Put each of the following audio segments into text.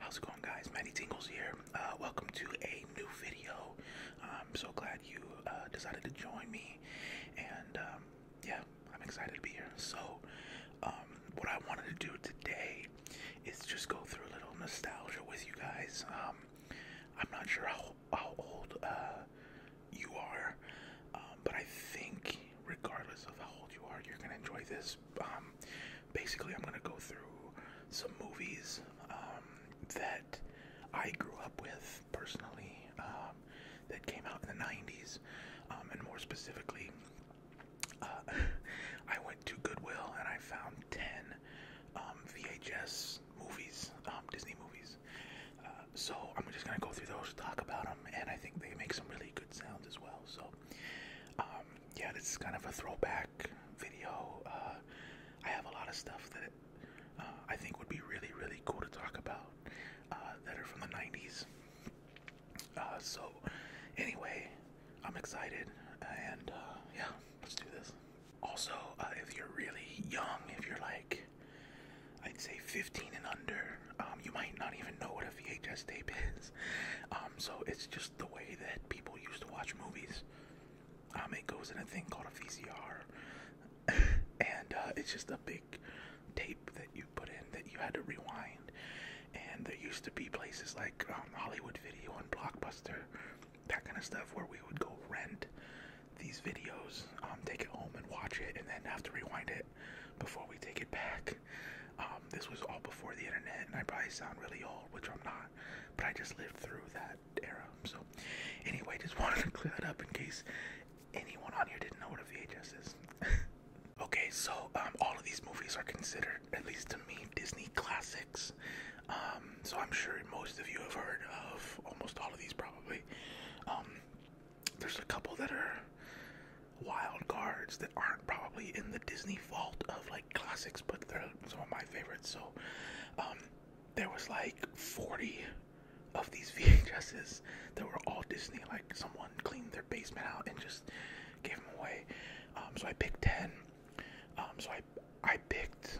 How's it going guys? Matty Tingles here. Uh, welcome to a new video. I'm so glad you uh, decided to join me and um, yeah, I'm excited to be here. So um, what I wanted to do today is just go through a little nostalgia with you guys. Um, I'm not sure how how old uh, you are, um, but I think regardless of how old you are, you're gonna enjoy this. Um, basically, I'm gonna go through some movies um, that I grew up with personally that came out in the '90s, and more specifically, uh, I went to Goodwill and I found ten um, VHS movies, um, Disney movies. Uh, so I'm just gonna go through those, talk about them, and I think they make some really good sounds as well. So um, yeah, this is kind of a throwback video. Uh, I have a lot of stuff that uh, I think would be really, really cool to talk about that are from the '90s. so anyway, I'm excited, and yeah, let's do this. Also, uh, if you're really young, if you're like, I'd say 15 and under, um, you might not even know what a VHS tape is. Um, so it's just the way that people used to watch movies. Um, it goes in a thing called a VCR, and uh, it's just a big tape that you put in that you had to rewind. And there used to be places like um, Hollywood Video and Blockbuster that kind of stuff where we would go rent these videos, um, take it home and watch it, and then have to rewind it before we take it back. Um, this was all before the internet, and I probably sound really old, which I'm not, but I just lived through that era. So, anyway, just wanted to clear that up in case anyone on here didn't know what a VHS is. okay, so um, all of these movies are considered, at least to me, Disney classics. Um, so I'm sure most of you have heard of almost all of these probably. Um, there's a couple that are wild cards that aren't probably in the Disney vault of like classics, but they're some of my favorites. So um, there was like 40 of these VHSs that were all Disney. Like someone cleaned their basement out and just gave them away. so I picked 10. so I I picked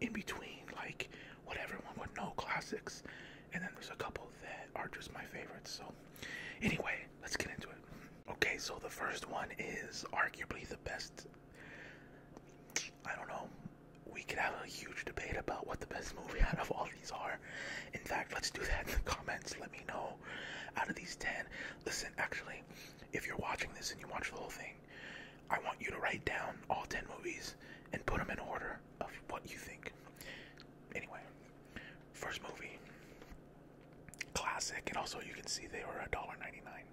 in between like what everyone would know classics, and then there's a couple that are just my favorites. So anyway, let's get into it. Okay, so the first one is arguably the best. I don't know. We could have a huge debate about what the best movie out of all these are. In fact, let's do that in the comments. Let me know out of these 10. Listen, actually, if you're watching this and you watch the whole thing, I want you to write down all 10 movies and put them in order of what you think. Anyway, first movie, classic, and also you can see they were a dollar ninety-nine.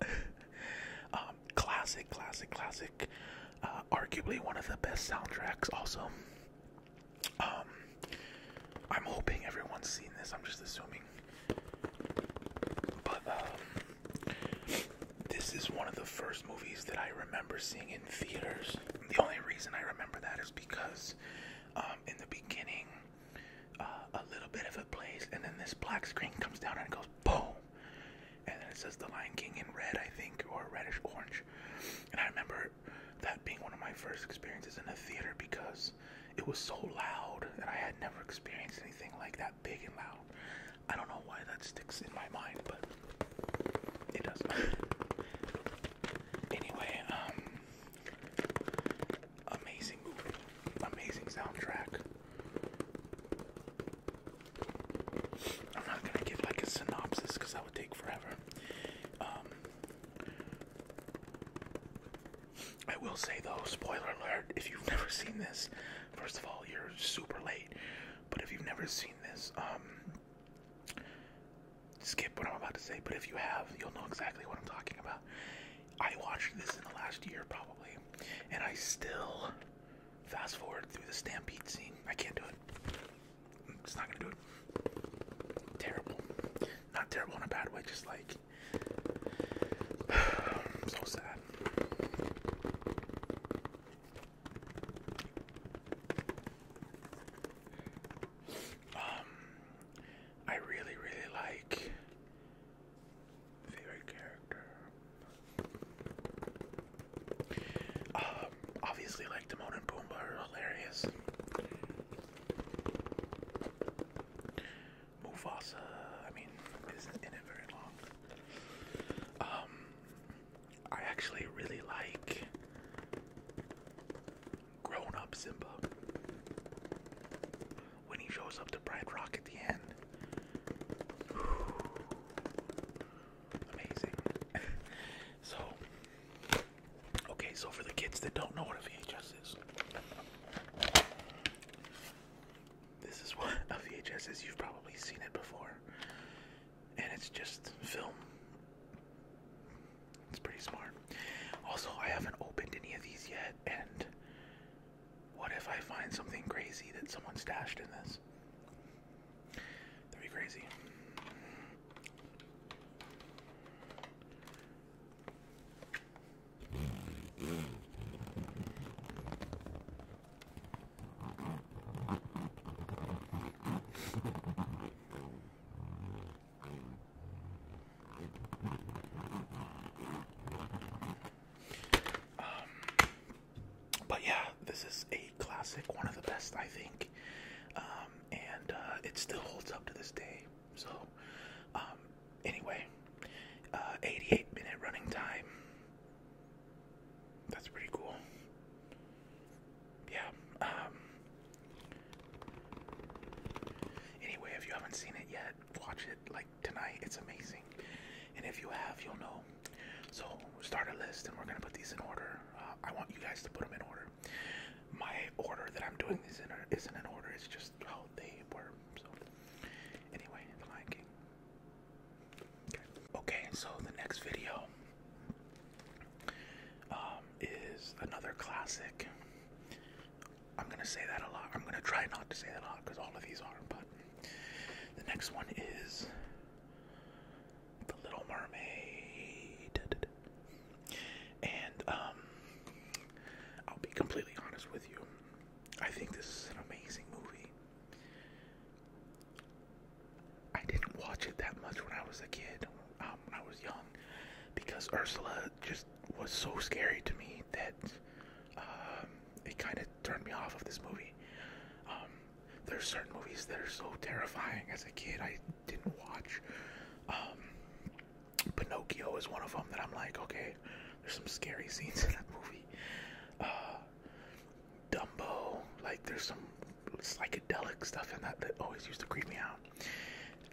Um, classic, classic, classic. Uh, arguably one of the best soundtracks, also. Um, I'm hoping everyone's seen this, I'm just assuming. But um, this is one of the first movies that I remember seeing in theaters. The only reason I remember that is because um, in the beginning, uh, a little bit of a place, and then this black screen comes down and it goes boom, and then it says The Lion King in red, I think, or reddish orange. And I remember that being one of my first experiences in a theater because it was so loud and I had never experienced anything like that big and loud. I don't know why that sticks in my mind, but it does. anyway, um, amazing movie, amazing soundtrack. I'm not gonna give like a synopsis because that would take forever. Um, I will say though, spoiler alert, if you've never seen this, first of all, you're super late. But if you've never seen this, um, skip what I'm about to say. But if you have, you'll know exactly what I'm talking about. I watched this in the last year probably, and I still fast forward through the stampede scene. I can't do it. It's not gonna do it. Terrible. Not terrible in a bad way, just like so sad. Um, I really, really like favorite character. Um, obviously, like Timon and Pumbaa are hilarious. Mufasa. I mean, isn't in it very long. Um, I actually really like Grown Up Simba when he shows up to Pride Rock at the end. Amazing. so, okay, so for the kids that don't know what a VHS is. This is what a VHS is. You've probably seen it before. And it's just film. It's pretty smart. Also, I haven't opened any of these yet. And what if I find something crazy that someone stashed in this? That'd be crazy. Um, but yeah, this is a classic, one of the best, I think, um, and uh, it still holds up to this day. So, um, anyway, uh, 88 minute running time. That's pretty cool. Yeah. Um, anyway, if you haven't seen it yet, watch it like tonight. It's amazing. And if you have, you'll know. So, start a list and we're going to put these in order. Uh, I want you guys to put them in order. My order that I'm doing these in isn't in order, it's just Oh, they were. So, anyway, The Lion King. Okay. so the next video um, is another classic. I'm gonna say that a lot. I'm gonna try not to say that a lot because all of these are. But the next one is The Little Mermaid. And um, I'll be completely honest with you. I think this is an amazing movie. I didn't watch it that much when I was a kid, um, when I was young, because Ursula just was so scary to me that um, it kind of turned me off of this movie. There are certain movies that are so terrifying as a kid I didn't watch. Pinocchio is one of them that I'm like, okay, there's some scary scenes in that movie. Uh, Dumbo, like there's some psychedelic stuff in that that always used to creep me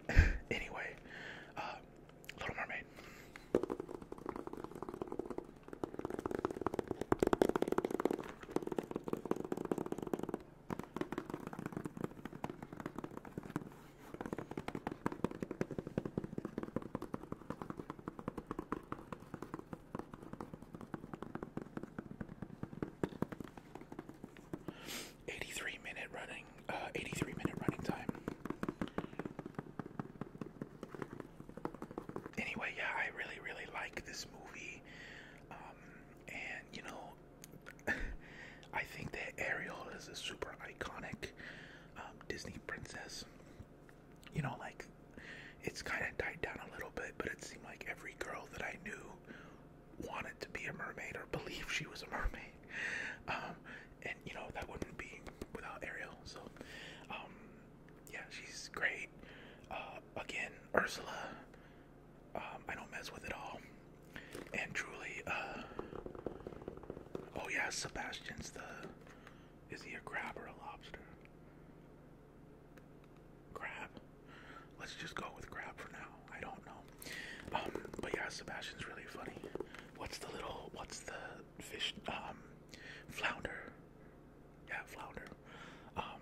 out. anyway, uh, Little Mermaid. 83 minute running, uh, 83 minute running time. Anyway, yeah, I really, really like this movie. Um, and, you know, I think that Ariel is a super iconic um, Disney princess. You know, like it's kind of died down a little bit, but it seemed like every girl that I knew wanted to be a mermaid or believe she was a mermaid. Um, and you know that wouldn't be without Ariel. So, um, yeah, she's great. Uh, again, Ursula. I don't mess with it all and truly, uh, oh yeah, Sebastian's the, is he a crab or a lobster? Crab. Let's just go with crab for now. I don't know. Um, but yeah, Sebastian's really funny. What's the little, what's the fish, um, flounder? Yeah, flounder. Um,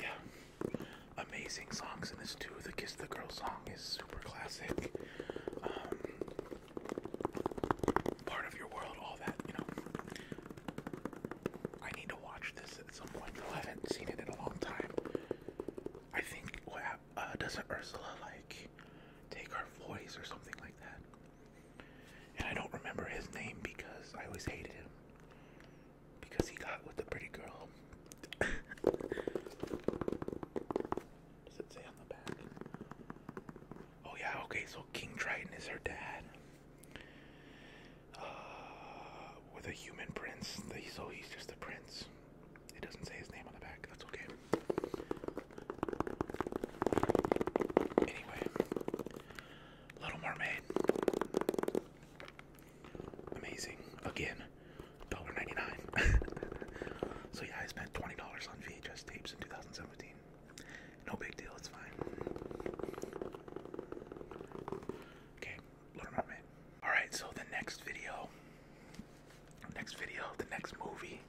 yeah amazing songs in this too. The Kiss the Girl song is super classic. Um, part of your world, all that, you know. I need to watch this at some point. I haven't seen it in a long time. I think what uh, doesn't Ursula like take our voice or something like that? And I don't remember his name because I always hated him because he got with the pretty girl does it say on the back? Oh yeah, okay, so King Triton is her dad. Uh, with a human prince. So he's just a prince. It doesn't say his name on the back. That's okay. Anyway, Little Mermaid. Amazing. Again, $1.99. so yeah, I spent $20 on VHS tapes in 2017. No big deal, it's fine. Okay, Little Mermaid. Alright, so the next video, next video, the next movie,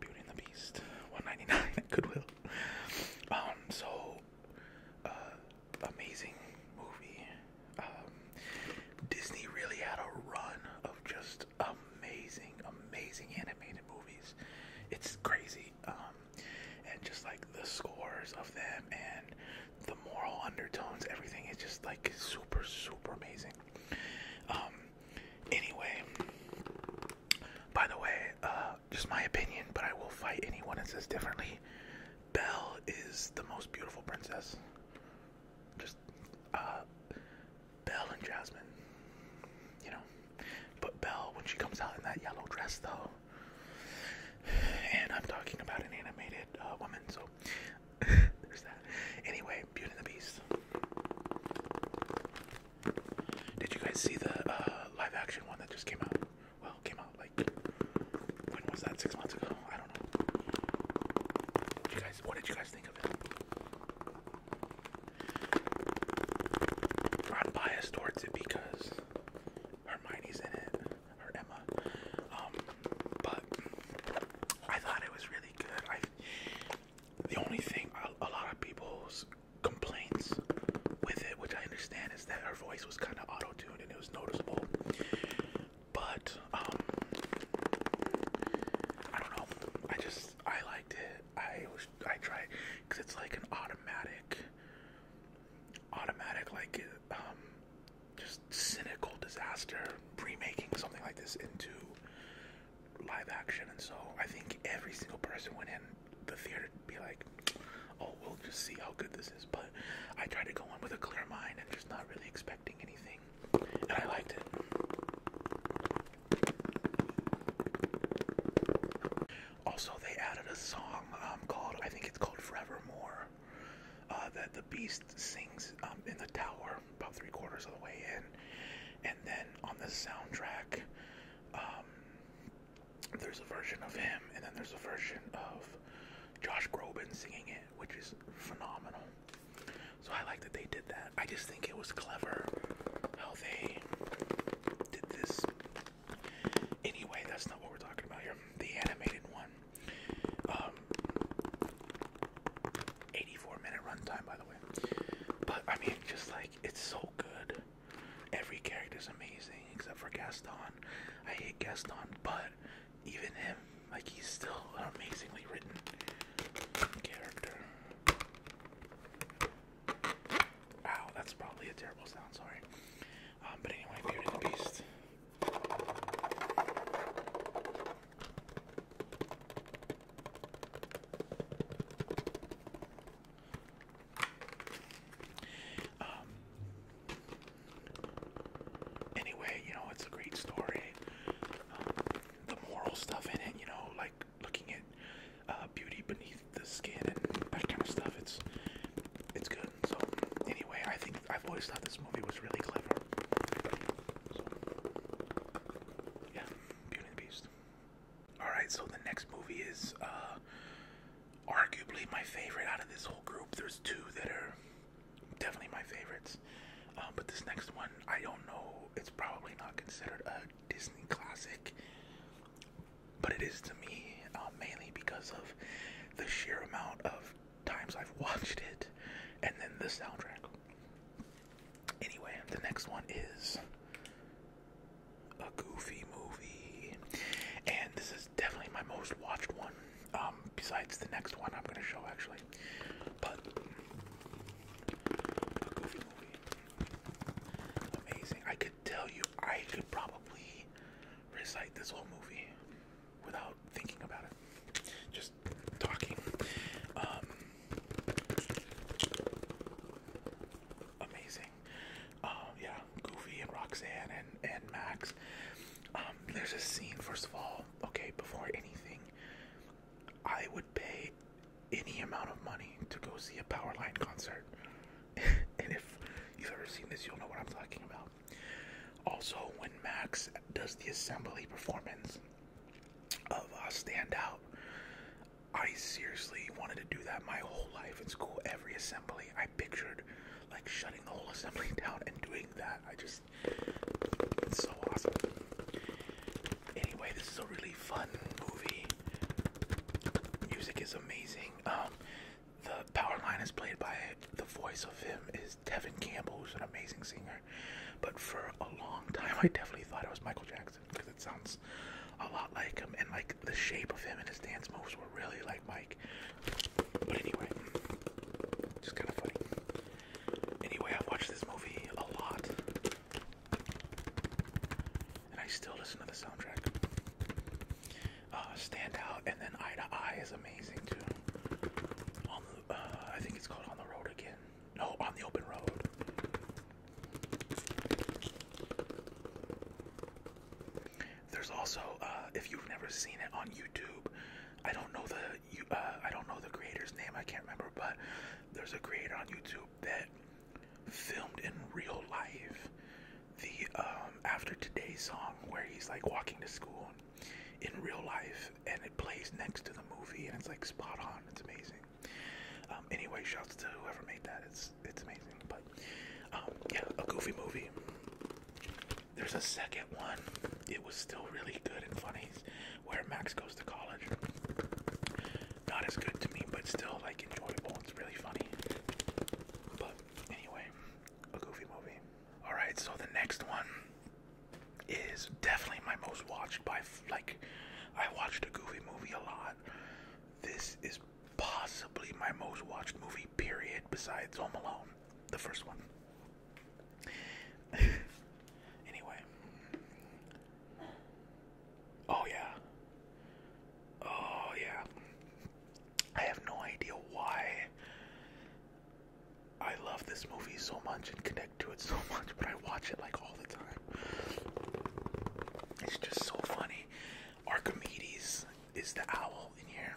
Beauty and the Beast, $1.99 Goodwill. Um, so, uh, amazing movie. Um, Disney really had a run of just amazing, amazing animated movies. It's crazy. Um, and just like the scores of them and the moral undertones, everything is just like super, super amazing. Um, anyway, by the way, uh, just my opinion, but I will fight anyone that says differently. Belle is the most beautiful princess. Just uh and Jasmine. You know. But Belle when she comes out in that yellow dress though. And I'm talking about an animated uh, woman, so there's that. Anyway, Beauty and the Beast. Did you guys see the uh, live action one that just came out? came out like when was that? Six months ago? I don't know. what did you guys think of it? I'm biased towards it because Hermione's in it, or Emma. Um, but I thought it was really good. the only thing a lot of people's complaints with it, which I understand, that her voice was kind of auto tuned and it was noticeable. But um, I don't know. I just I liked it. I was I tried because it's like an automatic, automatic like um, just cynical disaster remaking something like this into live action and so i think every single person went in the theater to be like, oh, we'll just see how good this is. But I tried to go in with a clear mind and just not really expecting anything, and I liked it. Also, they added a song um, called, I think it's called Forevermore, uh, that the Beast sings um, in the tower about three quarters of the way in. And then on the soundtrack, um, there's a version of him, and then there's a version of Josh Groban singing it, which is phenomenal. So I like that they did that. I just think it was clever how they did this. Anyway, that's not what we're talking about here. The animated one. Um, 84 minute runtime, by the way. But I mean, just like it's so good. Every character is amazing except for Gaston. I hate Gaston, but even him, like he's still an amazingly written character. Wow, that's probably a terrible sound, sorry. Um, but anyway, Beauty and the Beast. Um, anyway, you know, it's a great story. Um, the moral stuff in it, you know, like looking at uh, beauty beneath the skin and that kind of stuff, it's it's good. So anyway, I think I've always thought this movie was really clever. yeah, Beauty and the Beast. All right, so the next movie is uh, arguably my favorite out of this whole group. There's two that are definitely my favorites, um, but this next one, I don't know. It's probably not considered a Disney classic, but it is to me um, mainly because of the sheer amount of times I've watched it and then the soundtrack. Anyway, the next one is a goofy movie, and this is definitely my most watched one. Um, besides the next one I'm gonna show actually, but amazing. I could tell you, I could probably recite this whole movie without thinking about it, just talking. Um, amazing. Um, yeah, Goofy and Roxanne and and Max. Um, there's a scene. First of all, okay, before anything, I would pay any amount of money to go see a Powerline concert. and if you've ever seen this, you'll know what I'm talking about. Also, when Max does the assembly performance of uh, stand out. I seriously wanted to do that my whole life in school. Every assembly, I pictured like shutting the whole assembly down and doing that. I just it's so awesome. Anyway, this is a really fun movie. Music is amazing. Um, the power line is played by the voice of him is Devin Campbell, who's an amazing singer. But for a long time, I definitely thought it was Michael Jackson because it sounds a lot like him, and like the shape of him and his dance moves were really like Mike. But anyway, just kind of funny. Anyway, I've watched this movie a lot, and I still listen to the soundtrack. Uh, Stand Out and then Eye to Eye is amazing too. Uh, I think it's called On the Road Again. No, On the Open Road. There's also uh, if you've never seen it on YouTube, I don't know the uh, I don't know the creator's name. I can't remember, but there's a creator on YouTube that filmed in real life the um, after today song where he's like walking to school in real life and it plays next to the movie and it's like spot on. It's amazing. Um, anyway, shouts to whoever made that. It's it's amazing. But um, yeah, a goofy movie. There's a second one. It was still really good and funny, where Max goes to college. Not as good to me, but still like enjoyable. It's really funny. But anyway, a goofy movie. All right, so the next one is definitely my most watched by like I watched a goofy movie a lot. This is possibly my most watched movie, period, besides Home Alone, the first one. anyway. Oh, yeah. Oh, yeah. I have no idea why I love this movie so much and connect to it so much, but I watch it like all the time. It's just so funny. Archimedes is the owl in here.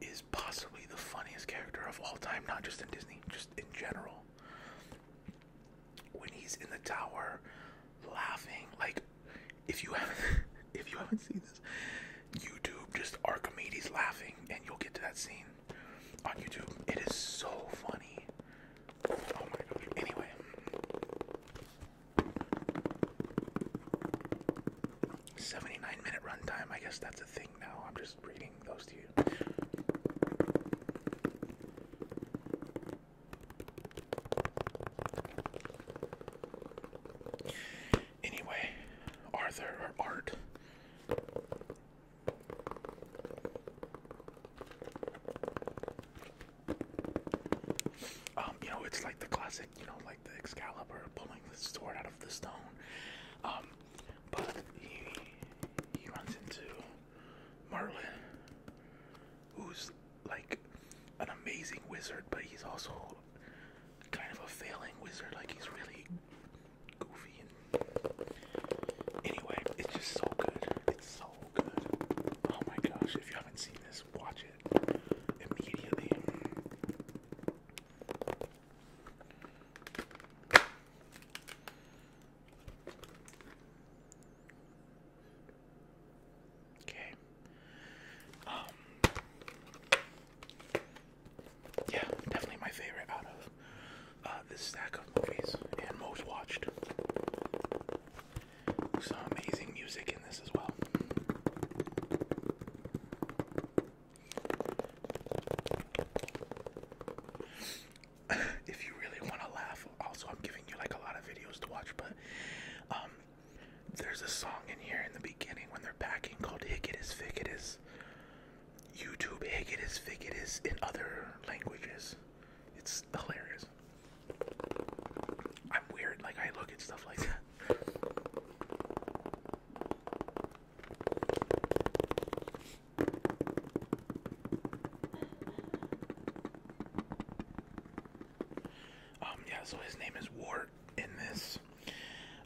Is possibly the funniest character of all time, not just in Disney, just in general. When he's in the tower, laughing like if you haven't if you haven't seen this, YouTube just Archimedes laughing, and you'll get to that scene on YouTube. It is so funny. Oh my gosh. Anyway, Seventy-nine minute runtime. I guess that's a thing now. I'm just reading those to you. Anyway, Arthur or Art. Um, you know, it's like the classic, you know, like the Excalibur pulling the sword out of the stone. Um, but he he runs into Marlin, who's like an amazing wizard, but he's also kind of a failing wizard. Like he's really goofy. Anyway, it's just so good. It's so Oh my gosh, if you haven't seen this, watch it immediately. Okay. Um, yeah, definitely my favorite out of uh stack of movies and most watched. Some amazing music in this as well. if you really want to laugh, also I'm giving you like a lot of videos to watch, but um, there's a song in here in the beginning when they're packing called "Hick It Is YouTube "Hick It Is in other languages. It's hilarious. I'm weird, like I look at stuff like that. Um, yeah, so his name is Wart in this,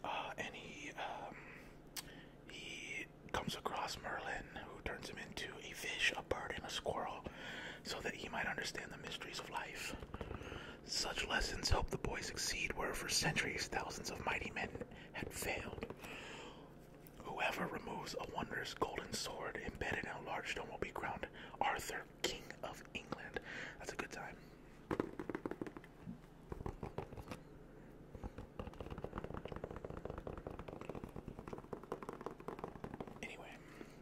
uh, and he, um, he comes across Merlin, who turns him into a fish, a bird, and a squirrel, so that he might understand the mysteries of life. Such lessons helped the boy succeed where for centuries thousands of mighty men had failed. Whoever removes a wondrous golden sword embedded in a large stone will be crowned Arthur, King of England. That's a good time. Anyway,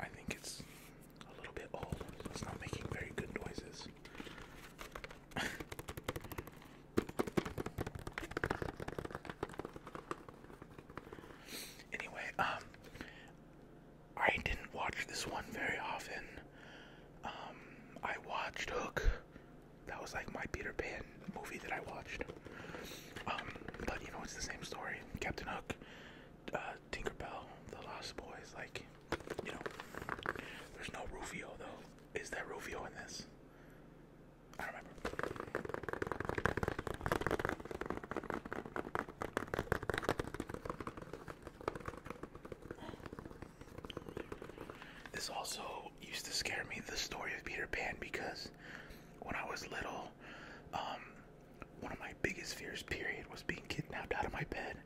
I think it's a little bit old. It's not making very good noises. anyway, um, I didn't watch this one very often. Um, I watched Hook. That was like my Peter Pan movie that I watched. Um, but you know, it's the same story. Captain Hook uh, Tinker Bell, the Lost Boys, like you know. There's no Rufio though. Is there Rufio in this? I don't remember. This also used to scare me, the story of Peter Pan, because when I was little, um, one of my biggest fears, period, was being kidnapped out of my bed.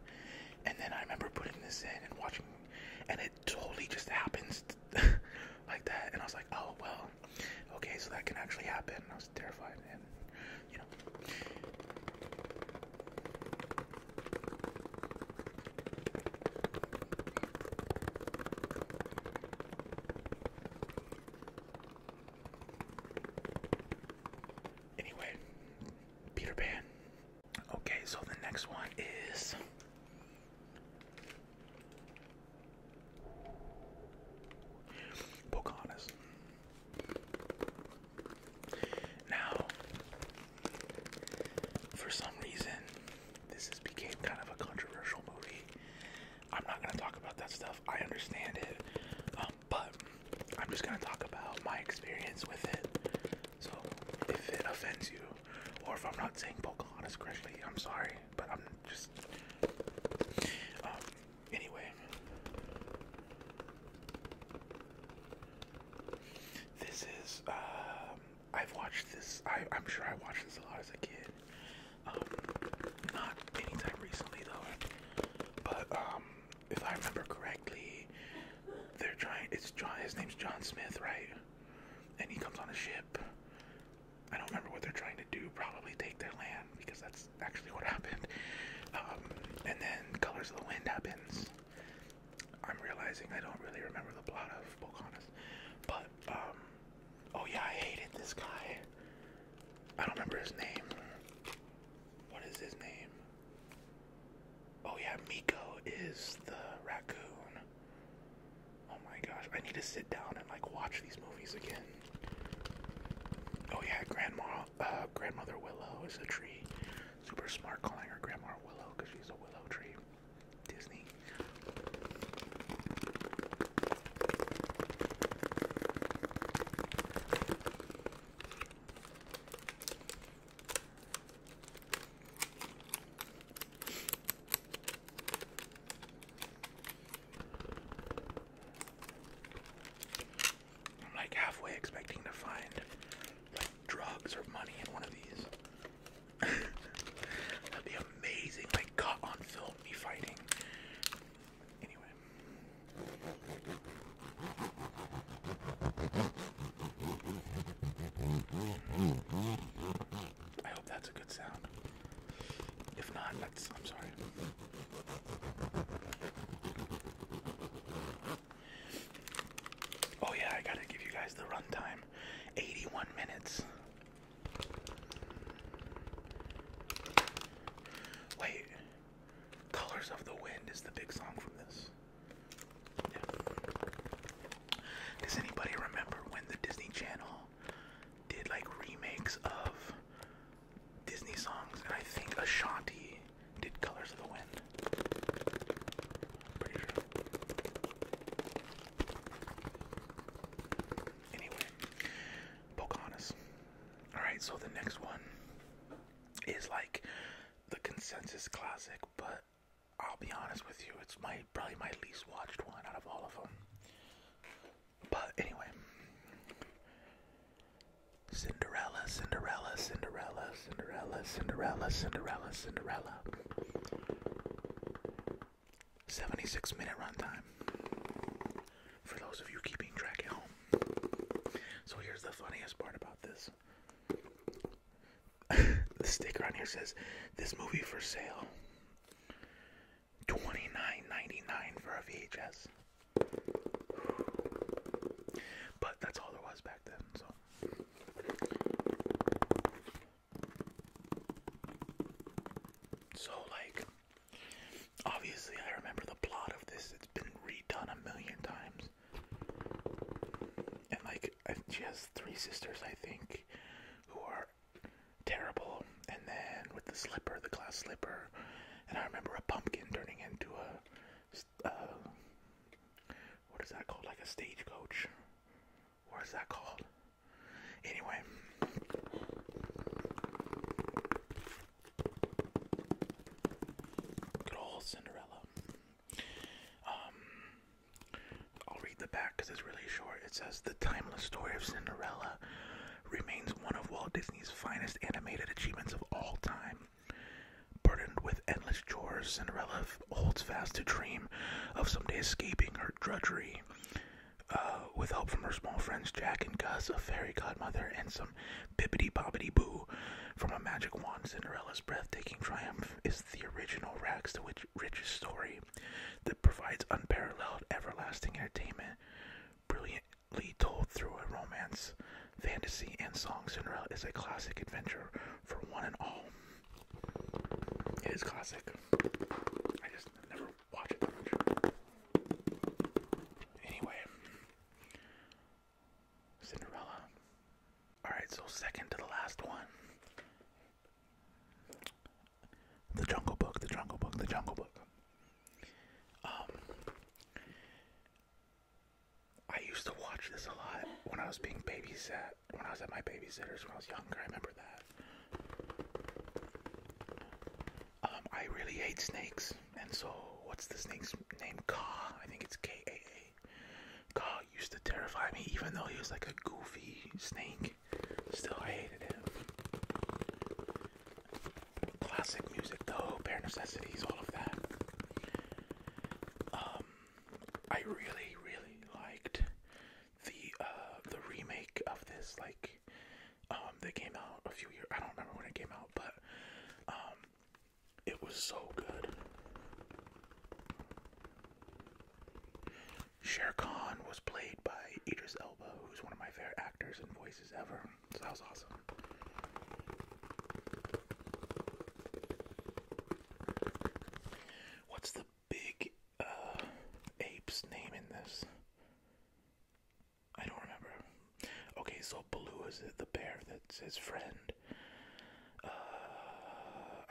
And then I remember putting this in and watching, and it totally just happens like that. And I was like, oh, well, okay, so that can actually happen. I was terrified, and you know. Anyway, Peter Pan. Okay, so the next one is. Pocahontas. Now, for some reason, this has became kind of a controversial movie. I'm not gonna talk about that stuff. I understand it. Um, but I'm just gonna talk about my experience with it. So if it offends you, or if I'm not saying Pocahontas correctly, I'm sorry, but I'm just. Um, anyway, this is. Um, I've watched this. I, I'm sure I watched this a lot as a kid. Um, not anytime recently though, but um, if I remember correctly, they're trying. It's John. His name's John Smith, right? And he comes on a ship. I don't remember what they're trying to do. Probably take their land because that's actually what happened. Um, and then Colors of the Wind happens. I'm realizing I don't really remember the plot of Pocahontas, but um, oh yeah, I hated this guy. I don't remember his name. What is his name? Oh yeah, Miko is the raccoon. Oh my gosh, I need to sit down and like watch these movies again. Oh yeah, grandma, uh, grandmother Willow is a tree. Super smart calling her grandma Willow because she's a willow tree. Disney. I'm like halfway expecting to find like drugs or money in one of these. That'd be amazing, like caught on film me fighting. Anyway. I hope that's a good sound. If not, that's I'm sorry. Oh yeah, I gotta give you guys the runtime. 81 minutes. Wait, Colors of the Wind is the big song from this. Does anybody remember when the Disney Channel did like remakes of Disney songs? And I think Ashanti did Colors of the Wind. Anyway, Pocahontas. Alright, so the next one is like the consensus classic, but I'll be honest with you, it's my probably my least watched one out of all of them. But anyway, Cinderella, Cinderella, Cinderella, Cinderella, Cinderella, Cinderella, Cinderella. 76 minute runtime. For those of you keeping track at home. So here's the funniest part about this. the sticker on here says, "This movie for sale, twenty nine ninety nine for a VHS." But that's all there was back then. So. So like Obviously, I remember the plot of this. It's been redone a million times. And like, she has three sisters, I think, who are terrible. And then with the slipper, the glass slipper, and I remember a pumpkin turning into a, uh, what is that called? Like a stagecoach. What is that called? Anyway, Good old Cinderella. Um, I'll read the back because it's really short. It says the timeless story of Cinderella remains one of Walt Disney's finest animated achievements of all time. Burdened with endless chores, Cinderella holds fast to dream of someday escaping her drudgery. Uh, with help from her small friends Jack and Gus, a fairy godmother, and some bippity boppity boo from a magic wand. Cinderella's breathtaking triumph is the original rags to riches story that provides unparalleled, everlasting entertainment, brilliantly told through a romance, fantasy, and song. Cinderella is a classic adventure for one and all. It is classic. I just never Anyway, Cinderella. Alright, so second to the last one. The Jungle Book, The Jungle Book, The Jungle Book. Um, I used to watch this a lot when I was being babysat, when I was at my babysitter's when I was younger. I remember that. Um, I really hate snakes, and so what's the snake's name? Ka, I think it's K A A. Ka used to terrify me, even though he was like a goofy snake. Still, I hated him. Classic music, though, bare necessities, all of that. Um, I really, really liked the uh, the remake of this, like um, they came out a few years. I don't remember when it came out, but um, it was so good. Shere Khan was played by Idris Elba, who's one of my favorite actors and voices ever. So that was awesome. What's the big uh, ape's name in this? I don't remember. Okay, so blue is the bear that's his friend. Uh,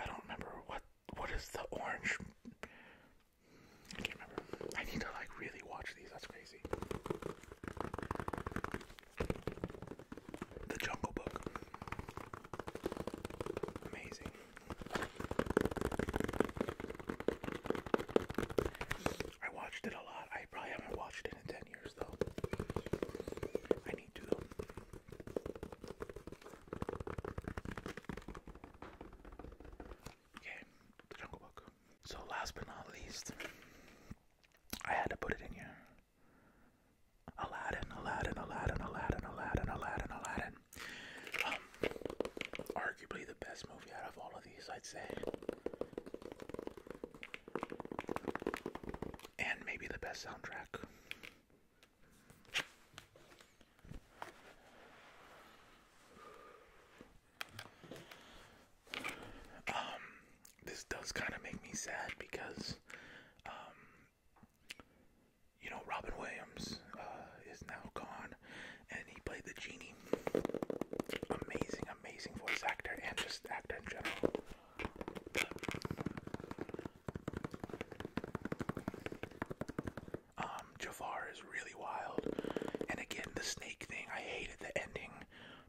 I don't remember what what is the orange. I can't remember. I need to like really watch these. That's crazy. The Jungle Book. Amazing. I watched it a lot. I probably haven't watched it in 10 years though. I need to Okay, the Jungle Book. So last but not least, I had to put it in here. Aladdin, Aladdin, Aladdin, Aladdin, Aladdin, Aladdin, Aladdin. Um, arguably the best movie out of all of these, I'd say. And maybe the best soundtrack. Um, this does kind of make me sad because, um, you know, Robin Williams uh, is now gone, and he played the genie. Amazing, amazing voice actor and just actor in general. Um, Jafar is really wild, and again the snake thing. I hated the ending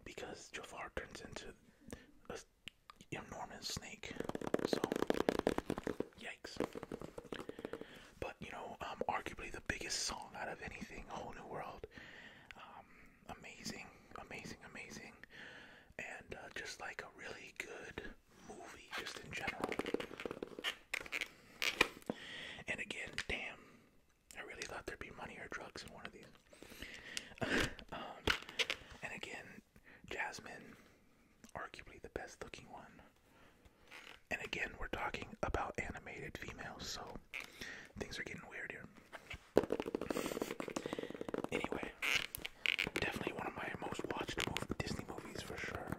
because Jafar turns into a enormous snake. So, yikes. But you know, um, arguably the biggest song out of anything, Whole New World. Um, amazing, amazing, amazing, and uh, just like a really good movie, just in general. And again, damn, I really thought there'd be money or drugs in one of these. Um, and again, Jasmine, arguably the best looking one. And again, we're talking about animated females, so things are getting weird here. Anyway, definitely one of my most watched Disney movies for sure.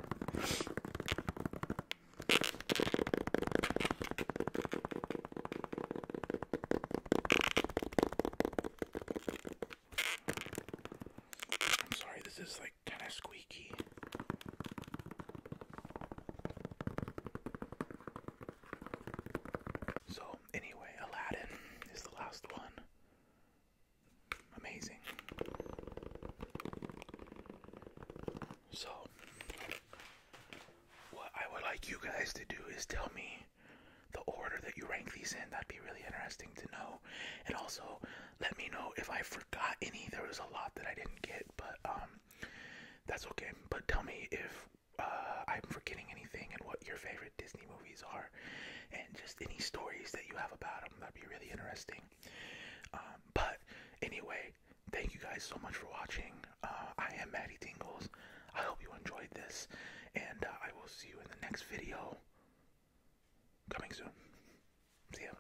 I'm sorry, this is like kind of squeaky. So, anyway, Aladdin is the last one. Amazing. So, what I would like you guys to do is tell me the order that you rank these in. That'd be really interesting to know. And also, let me know if I forgot any. There was a lot that I didn't get, but um, that's okay. But tell me if uh, I'm forgetting anything and what your favorite Disney movies are, and just any stories that you have about them. That'd be really interesting. Um, but anyway, thank you guys so much for watching. Uh, I am Maddie Tingles. I hope you enjoyed this, and uh, I will see you in the next video coming soon. See ya.